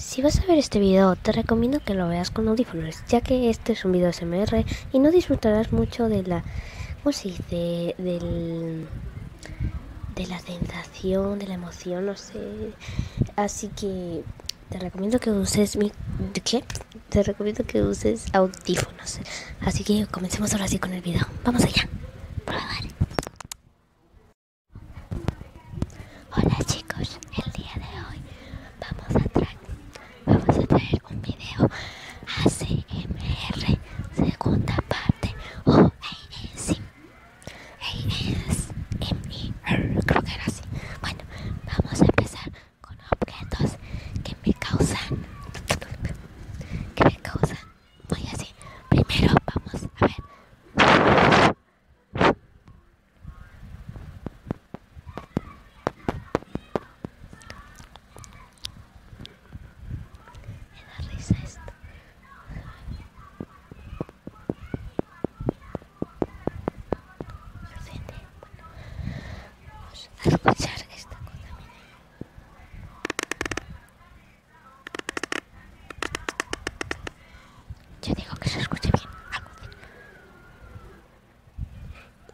si vas a ver este video te recomiendo que lo veas con audífonos, ya que este es un video SMR y no disfrutarás mucho de la, ¿cómo se dice? Del, de la sensación, de la emoción, no sé. Así que te recomiendo que uses mi, ¿qué? Te recomiendo que uses audífonos. Así que comencemos ahora sí con el video. Vamos allá. Hola chicos, el día de hoy vamos a, vamos a traer un video ACMR segunda parte o ASMR, creo que era así. Bueno, vamos a empezar con objetos que me causan, que me causan muy así. Primero vamos a ver. Me da risa esto. Me ofende. Bueno, vamos a escuchar esta contaminación yo digo que se escuche bien.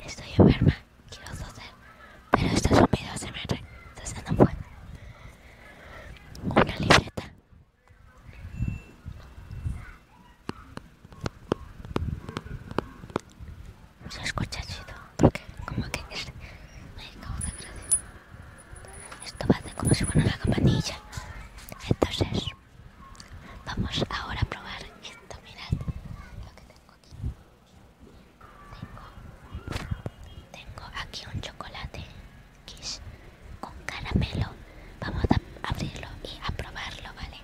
Estoy enferma, quiero toser, pero estos sonidos se me re, entonces no puede. Una libreta. Se escucha chido, porque como que es... Me acabo esto va a como si fuera una campanilla. Entonces, vamos ahora a probar esto. Mirad lo que tengo aquí. Tengo, tengo aquí un chocolate con caramelo. Vamos a abrirlo y a probarlo, ¿vale?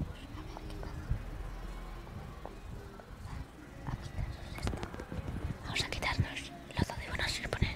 Vamos a ver qué pasa a quitarnos esto. Vamos a quitarnos los dos y vamos a poner.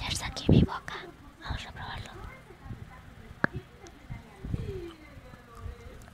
Ya está aquí mi boca, vamos a probarlo.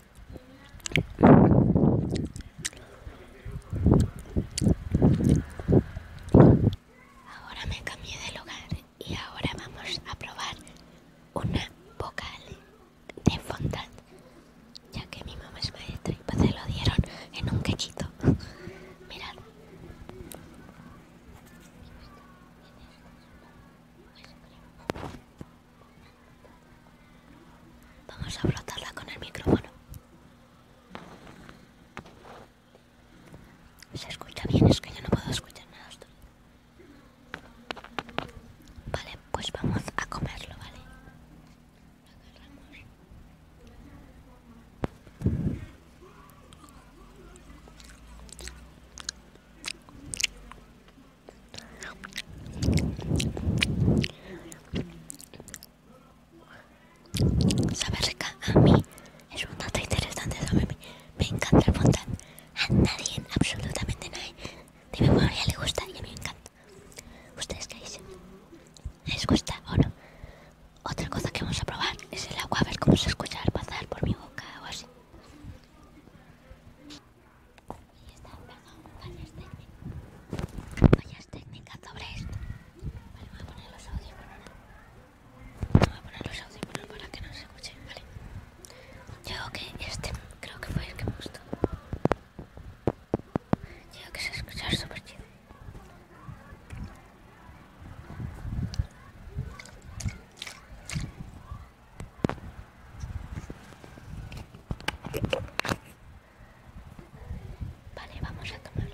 Ahora me cambié de lugar y ahora vamos a probar una vocal de fondant, ya que mi mamá es maestra y se lo dieron en un quechito. Mirad. Vamos a brotarla con el micrófono. Se escucha bien, es que yo no puedo escuchar nada. Vale, pues vamos a comerlo, ¿vale? Agarramos Sabe rica, a mí es un dato interesante Me encanta el fondant. A nadie, absolutamente nadie, a mi familia le gusta y a mí me encanta. ¿Ustedes qué dicen? ¿Les gusta o no? Otra cosa que vamos a probar es el agua, a ver cómo se escucha al pasar por mi boca o así. Y está, perdón, fallas técnicas. Fallas técnicas sobre esto. Vale, voy a poner los audífonos. Voy a poner los audífonos para que no se escuchen, ¿vale? Yo que este creo que fue el que me gustó. Yo que se escucha súper chido. Vale, vamos a tomarlo.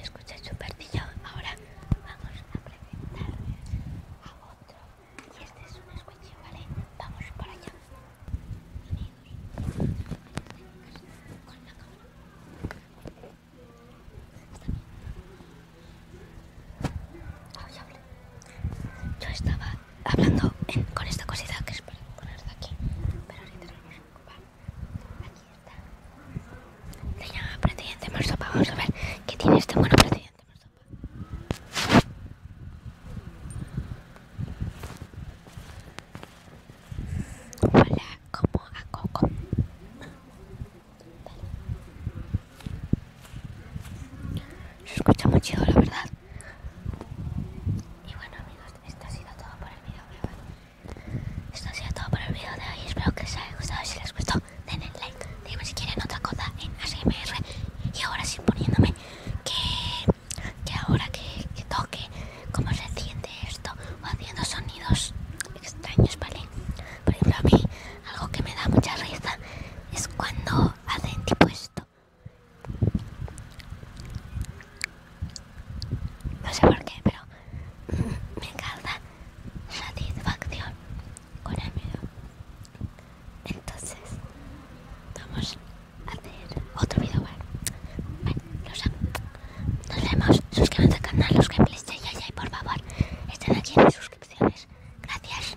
Escucha súper partido. Ahora vamos a presentar a otro. Y este es un escuche, ¿vale? Vamos por allá. con la cámara. Yo estaba hablando con esta cosita que es para poner de aquí. Pero ahorita tenemos. Vale. Aquí está. Se llama Presidente Marsopa. Vamos a ver qué tiene este bueno Presidente Marsopa. Hola, como a Coco. Se escucha muy chido, la verdad. Y bueno amigos, esto ha sido todo por el video, Esto ha sido todo por el video de hoy. Espero que os haya gustado. Si les gustó, denle like. Díganme si quieren otra cosa en ASMR. Y ahora sí poniéndome que, que ahora que, toque cómo se siente esto o haciendo sonidos extraños, ¿vale? Por ejemplo, a mí algo que me da mucha risa es cuando hacen tipo esto. No sé por qué, pero me encanta satisfacción con el miedo. Entonces, vamos a hacer otro video. Bueno, bueno los, nos vemos. Suscríbanse al canal, los que hay, ya y por favor, estén aquí en las suscripciones. Gracias.